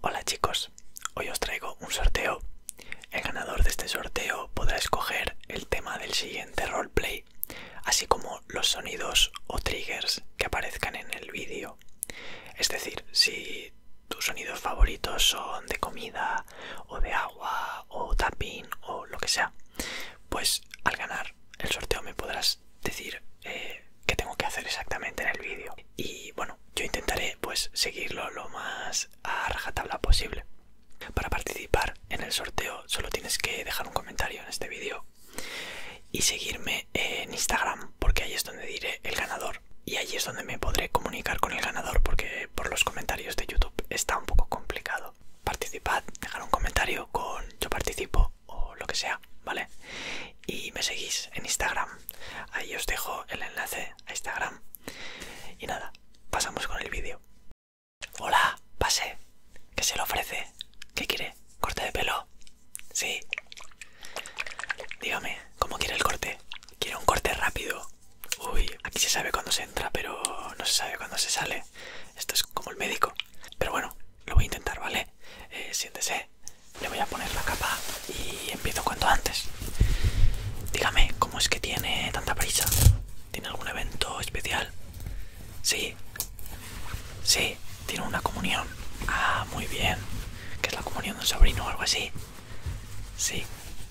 Hola chicos, hoy os traigo un sorteo. El ganador de este sorteo podrá escoger el tema del siguiente roleplay, así como los sonidos o triggers que aparezcan en el vídeo. Es decir, si tus sonidos favoritos son de comida o de agua o tapping o lo que sea, pues al ganar el sorteo me podrás decir eh, qué tengo que hacer exactamente en el vídeo. Y bueno, yo intentaré pues seguirlo lo más a rajatabla posible. Para participar en el sorteo solo tienes que dejar un comentario en este vídeo y seguirme en Instagram porque ahí es donde diré el ganador y ahí es donde me podré comunicar con el ganador porque por los comentarios de YouTube está un poco complicado. Participad, dejar un comentario con yo participo o lo que sea, ¿vale? y me seguís en Instagram. Ahí os dejo el enlace a Instagram. Y nada, pasamos con el vídeo. Hola, pase. ¿Qué se le ofrece? ¿Qué quiere? ¿Corte de pelo? Sí. Dígame, ¿cómo quiere el corte? ¿Quiere un corte rápido? Uy, aquí se sabe cuándo se entra, pero no se sabe cuándo se sale. Esto es como el médico. Pero bueno, lo voy a intentar, ¿vale? Eh, siéntese, le voy a poner la capa y empiezo cuanto antes. Dígame, ¿cómo es que tiene tanta prisa? ¿Tiene algún evento especial? Sí, sí, tiene una comunión. Ah, muy bien. ¿qué es la comunión de un sobrino o algo así? Sí,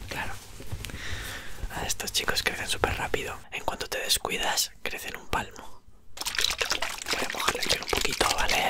claro. A estos chicos crecen súper rápido. En cuanto te descuidas, crecen un palmo. Voy a mojarle un poquito, ¿vale?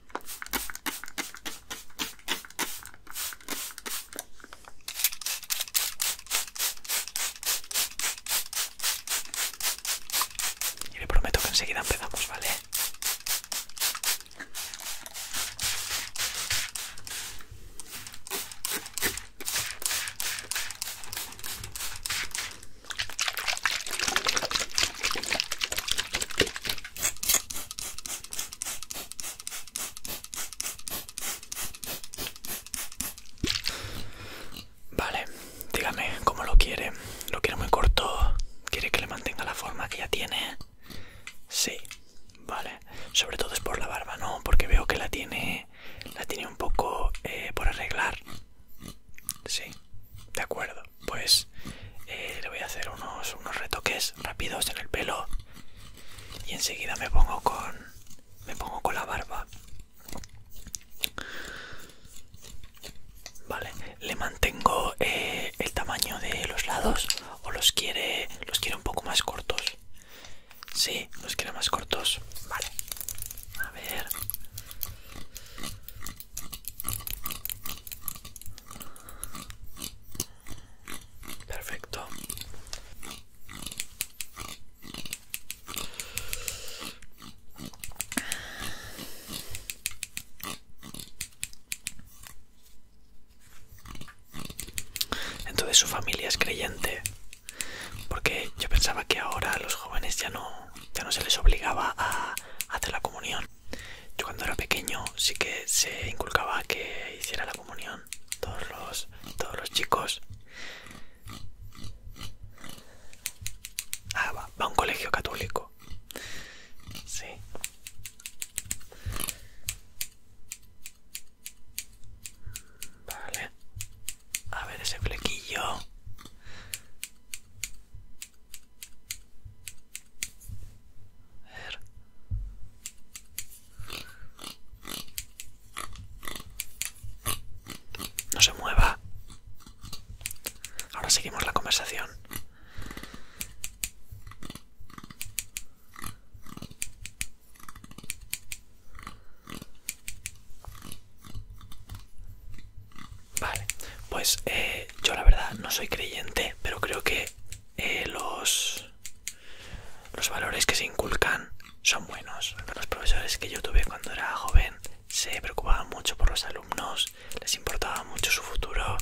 Y le prometo que enseguida empezamos, ¿vale? Vale, dígame cómo lo quiere. ¿Lo quiere muy corto? ¿Quiere que le mantenga la forma que ya tiene? Sí, vale. Sobre todo es por la barba, ¿no? Porque veo que la tiene, la tiene un poco eh, por arreglar. Sí, de acuerdo pues eh, le voy a hacer unos, retoques rápidos en el pelo y enseguida me pongo con me pongo con la barba vale le mantengo eh, el tamaño de los lados o los quiere los quiere un poco más cortos sí los quiere más cortos vale a ver Perfecto. Entonces su familia es creyente, porque yo pensaba que ahora a los jóvenes ya no, ya no se les obligaba a hacer la comunión. Yo cuando era pequeño sí que se inculcaba que hiciera la comunión todos los, todos los chicos. Ah, va, va a un colegio católico. Sí. Vale. A ver ese flequillo. No se mueva. Ahora seguimos la conversación. Vale, pues eh, yo la verdad no soy creyente, pero creo que eh, los, los valores que se inculcan son buenos. Los profesores que yo tuve cuando era joven se preocupaban mucho por los alumnos, les importaba mucho su futuro,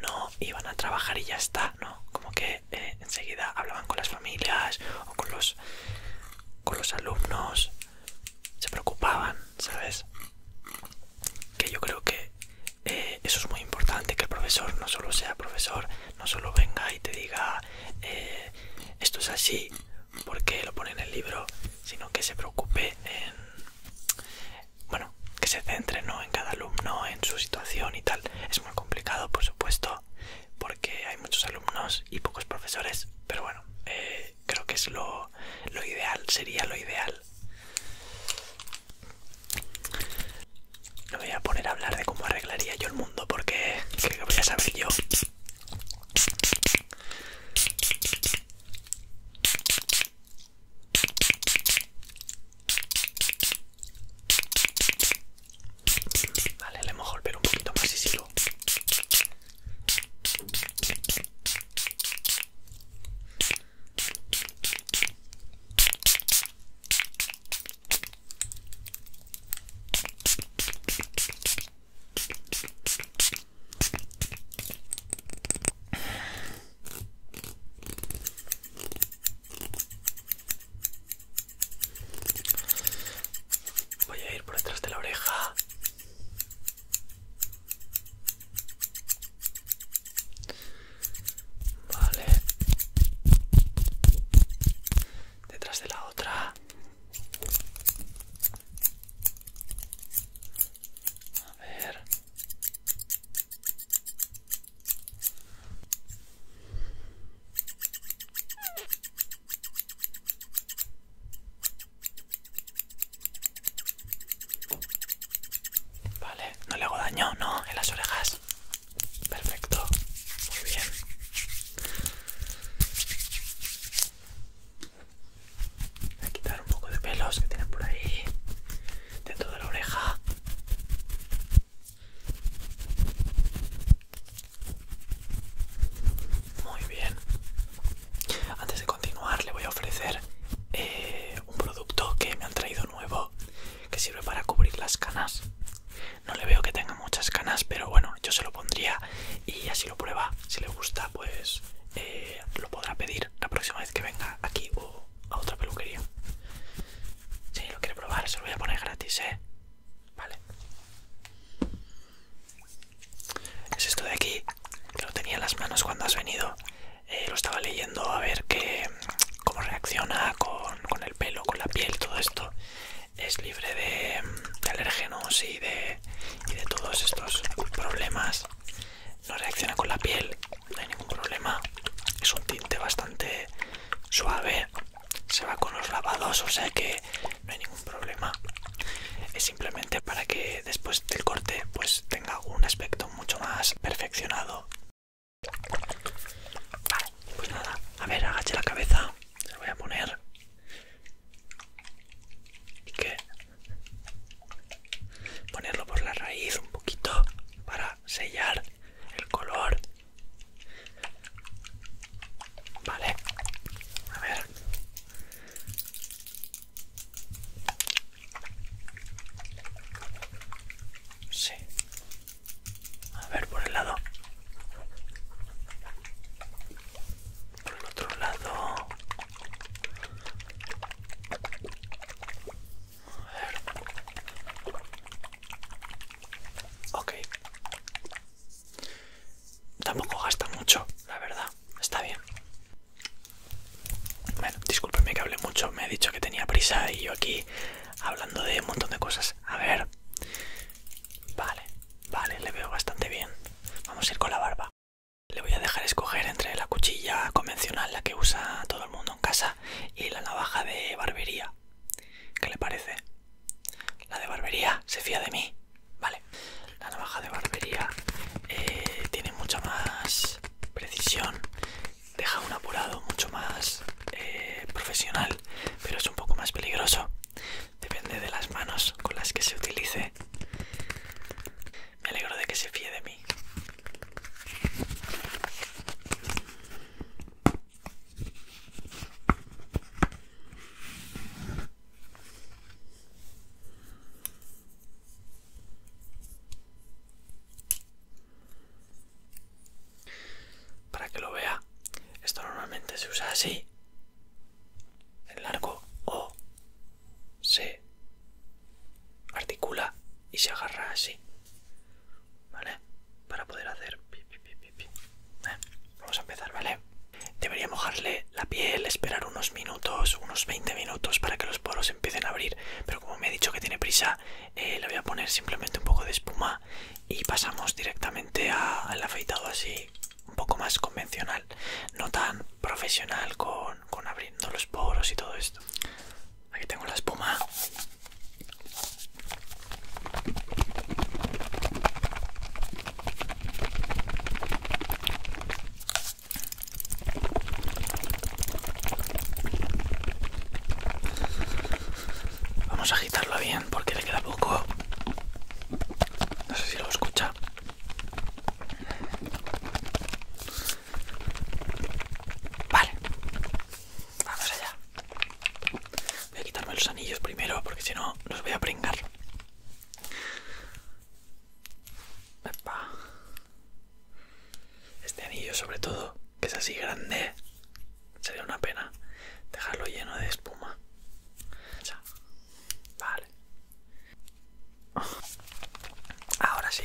no iban a trabajar y ya está, ¿no? Como que eh, enseguida hablaban con las familias o con los, con los alumnos, se preocupaban, ¿sabes? que yo creo que eh, eso es muy importante, que el profesor no solo sea profesor, no solo venga y te diga eh, esto es así porque lo pone en el libro, sino que se preocupe en, bueno, que se centre en cada alumno, en su situación y tal. Es muy complicado, por supuesto, porque hay muchos alumnos y pocos profesores, pero bueno, eh, creo que es lo ideal, sería lo ideal no me voy a poner a hablar de cómo arreglaría yo el mundo porque creo que voy a saber yo. Vale, le mojo el pelo un poquito más y sigo. Voy a ir por detrás de la oreja. Vale. Detrás de la otra. A ver. Vale, no le hago daño, ¿no? En las orejas. Perfecto. Muy bien. Voy a quitar un poco de pelos que tienen por ahí dentro de la oreja. Muy bien. Antes de continuar le voy a ofrecer eh, un producto que me han traído nuevo que sirve para cubrir las canas. No le veo que tenga muchas canas, pero bueno, yo se lo pondría y así lo prueba. Si le gusta, pues eh, lo podrá pedir la próxima vez que venga aquí o a otra peluquería. Si lo quiere probar, se lo voy a poner gratis, ¿eh? Vale. Es esto de aquí, que lo tenía en las manos cuando has venido. Eh, lo estaba leyendo a ver qué cómo reacciona con, el pelo, con la piel, todo esto. Es libre de, alérgenos y de, y de todos estos problemas. No reacciona con la piel, no hay ningún problema. Es un tinte bastante suave. Se va con los lavados, o sea que no hay ningún problema es simplemente para que después del corte pues tenga un aspecto mucho más perfeccionado vale pues nada a ver agache la cabeza se lo voy a poner y que ponerlo por la raíz un poquito para sellar el color vale a ver Sí. A ver, por el lado. Por el otro lado. A ver. Tampoco gasta mucho, la verdad. Está bien. Bueno, discúlpenme que hable mucho, me he dicho que tenía prisa y yo aquí hablando de un montón de cosas. A ver. Vale, vale, le veo bastante bien. Vamos a ir con la barba. Le voy a dejar escoger entre la cuchilla convencional, la que usa todo el mundo en casa, y la navaja de barbería. ¿Qué le parece? La de barbería se fía de mí. Vale. La navaja de barbería eh, tiene mucha más precisión, deja un apurado mucho más eh, profesional, pero es un poco más peligroso. Depende de las manos con las que se utilice. Me alegro de que se fíe de mí. Para que lo vea, esto normalmente se usa así, el largo O se articula y se agarra así, ¿vale? Para poder hacer... Eh, vamos a empezar, ¿vale? Debería mojarle la piel, esperar unos minutos, unos 20 minutos para que los poros empiecen a abrir. Pero como me he dicho que tiene prisa, eh, le voy a poner simplemente un poco de espuma y pasamos directamente al afeitado así, un poco más convencional, no tan profesional con, con abriendo los poros y todo esto. Aquí tengo la espuma. Vamos a agitarlo bien porque le queda poco. No sé si lo escucha. Vale. Vamos allá. Voy a quitarme los anillos primero porque si no los voy a pringar. Este anillo sobre todo, que es así grande, sería una pena dejarlo lleno de espuma. Vale. Ahora sí.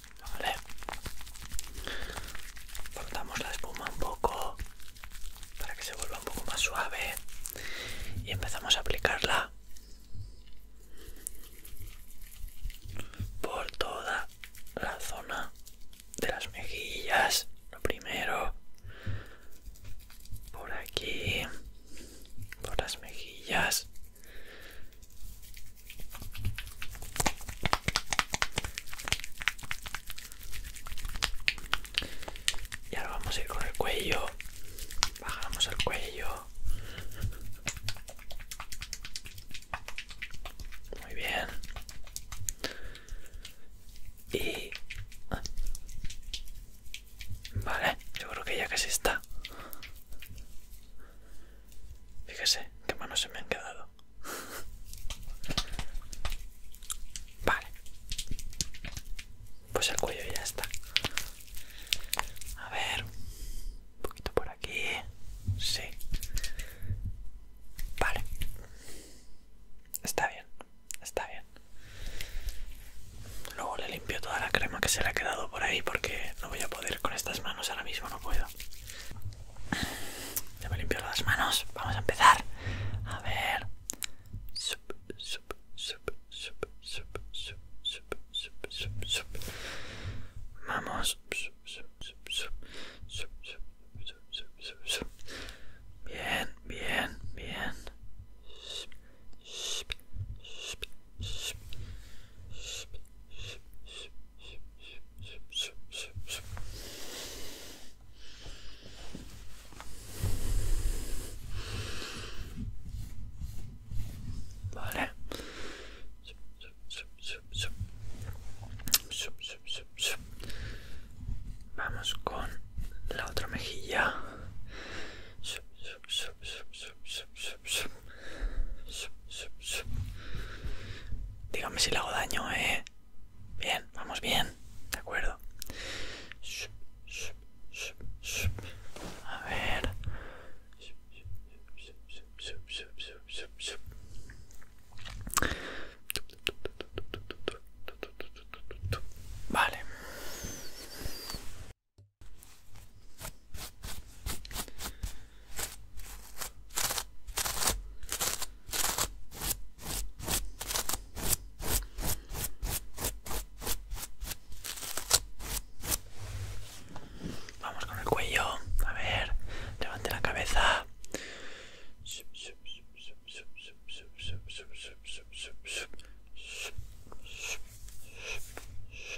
Vale. la espuma un poco para que se vuelva un poco más suave y empezamos a aplicarla por toda la zona de las mejillas. Lo primero, por aquí, por las mejillas. Y ahora vamos a ir con el cuello. Bajamos el cuello. Muy bien. Y... Vale, yo creo que ya casi está. Fíjese qué manos se me han quedado. Vale. Pues el cuello ya está. A ver. Un poquito por aquí. Sí. Vale. Está bien. Está bien. Luego le limpio toda la crema que se le ha quedado por ahí porque no voy a poder con estas manos ahora mismo, no puedo. Ya me limpio las manos. Vamos a empezar. A ver. Sup, sup, sup, sup, sup, sup, sup, sup, sup, sup. Vamos. Sup, sup, sup, sup, sup, sup, Bien, bien, bien. sup, sup, sup, sup, sup, sup, Vale. Vamos con la otra mejilla. Dígame si le hago daño, ¿eh? Bien, vamos bien. De acuerdo. A ver. Vale. Vamos con el cuello. A ver, levante la cabeza.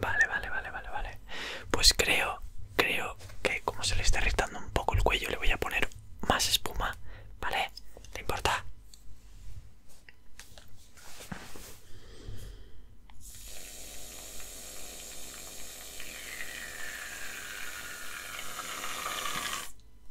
Vale, vale, vale, vale, vale, vale. Pues creo, creo que como se le está irritando un poco el cuello, le voy a poner más espuma, ¿vale? ¿Le importa?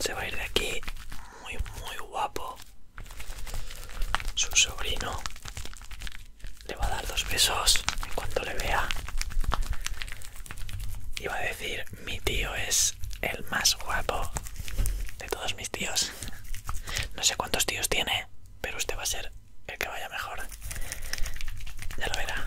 se va a ir de aquí muy muy guapo su sobrino le va a dar dos besos en cuanto le vea y va a decir mi tío es el más guapo de todos mis tíos no sé cuántos tíos tiene pero usted va a ser el que vaya mejor ya lo verá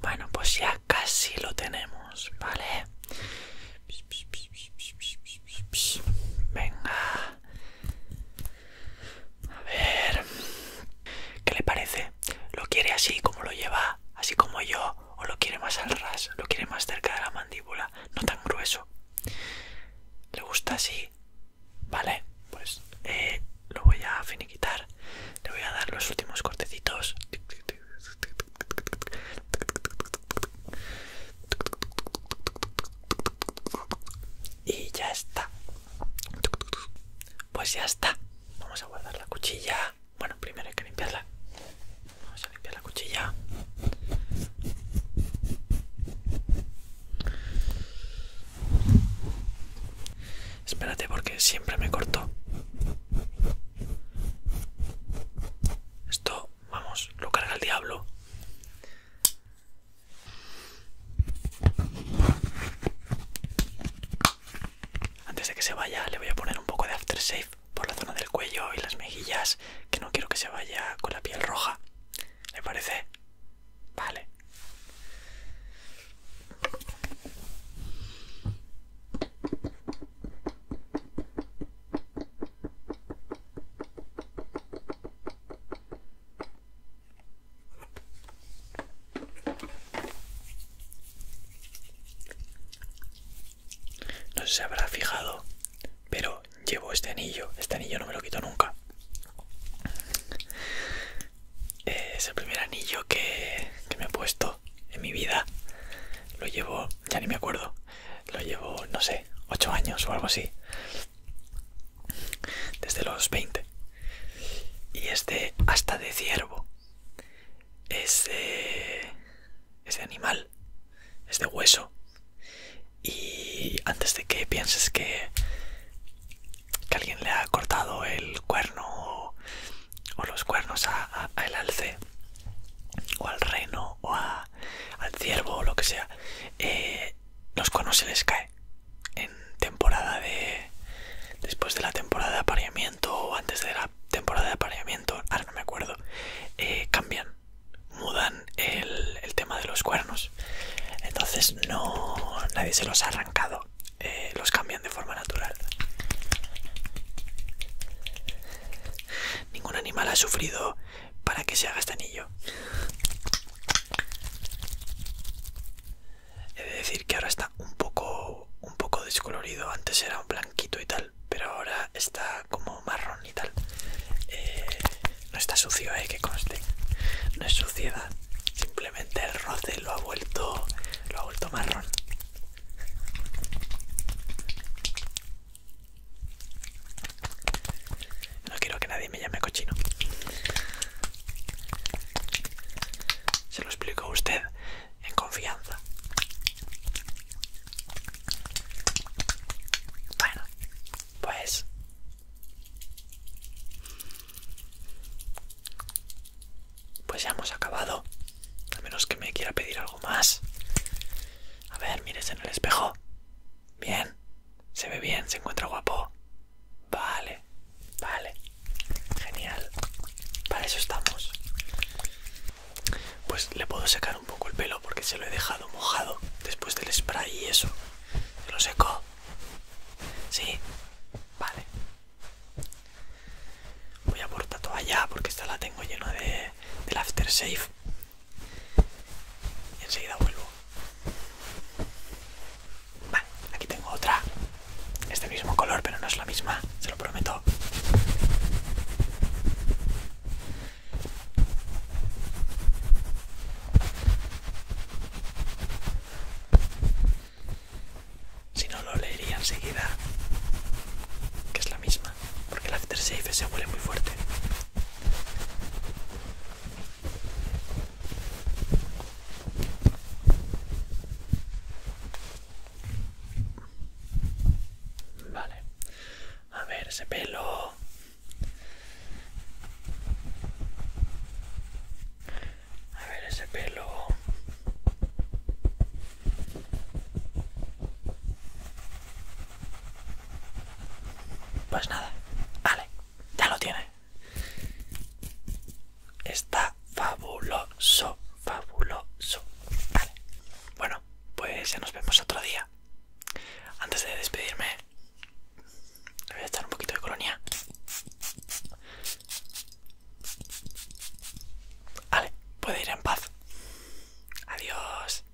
Bueno, pues ya casi lo tenemos, ¿vale? Venga. A ver... ¿Qué le parece? ¿Lo quiere así como lo lleva, así como yo? ¿O lo quiere más al ras? ¿Lo quiere más cerca de la mandíbula? No tan grueso. ¿Le gusta así? Vale, pues eh, lo voy a finiquitar. Le voy a dar los últimos cortecitos y ya está pues ya está vamos a guardar la cuchilla bueno primero hay que limpiarla vamos a limpiar la cuchilla espérate porque siempre me corto esto vamos lo carga el diablo antes de que se vaya le voy a poner un poco de aftershave por la zona del cuello y las mejillas, que no quiero que se vaya con la piel roja. ¿Le parece? Vale. No sé si se habrá fijado, pero llevo este anillo. Este anillo no me lo quito nunca. Eh, es el primer anillo que, me he puesto en mi vida. Lo llevo, ya ni me acuerdo. Lo llevo, no sé, ocho años o algo así desde los 20. Y es de hasta de ciervo. Ese eh, de, animal, es de hueso. Y antes de que pienses que, alguien le ha cortado el cuerno o, los cuernos al alce, o al reno, o al ciervo, o lo que sea, eh, los cuernos se les cae en temporada de después de la temporada de apareamiento o antes de la temporada de apareamiento ahora no me acuerdo eh, cambian mudan el, tema de los cuernos entonces no nadie se los ha arrancado eh, los cambian de forma natural ningún animal ha sufrido para que se haga este anillo. He de decir que ahora está un poco, un poco descolorido, antes era un blanquito y tal, pero ahora está como marrón y tal. Eh, no está sucio, eh, que conste. No es suciedad, simplemente el roce lo ha vuelto, lo ha vuelto marrón. No quiero que nadie me llame cochino. Se lo explico a usted en confianza. Bueno, pues... Pues ya hemos acabado. A menos que me quiera pedir algo más. A ver, mires en el espejo. Bien, se ve bien, se encuentra guapo. Vale, vale. Genial. Para eso estamos. Pues le puedo secar un poco el pelo porque se lo he dejado mojado después del spray y eso. lo secó. Sí. Vale. Voy a por toalla porque esta la tengo llena de, after aftershave y enseguida vuelvo. aquí tengo otra. Este mismo color, pero no es la misma, se lo prometo. Si no lo leería enseguida, que es la misma porque la el aftershave se huele muy fuerte. Vale, a ver ese pelo. A ver ese pelo. Pues nada, vale, ya lo tiene. Está fabuloso, fabuloso. Vale. Bueno, pues ya nos vemos otro día. Antes de despedirme, le voy a echar un poquito de colonia. Vale, puede ir en paz. Adiós.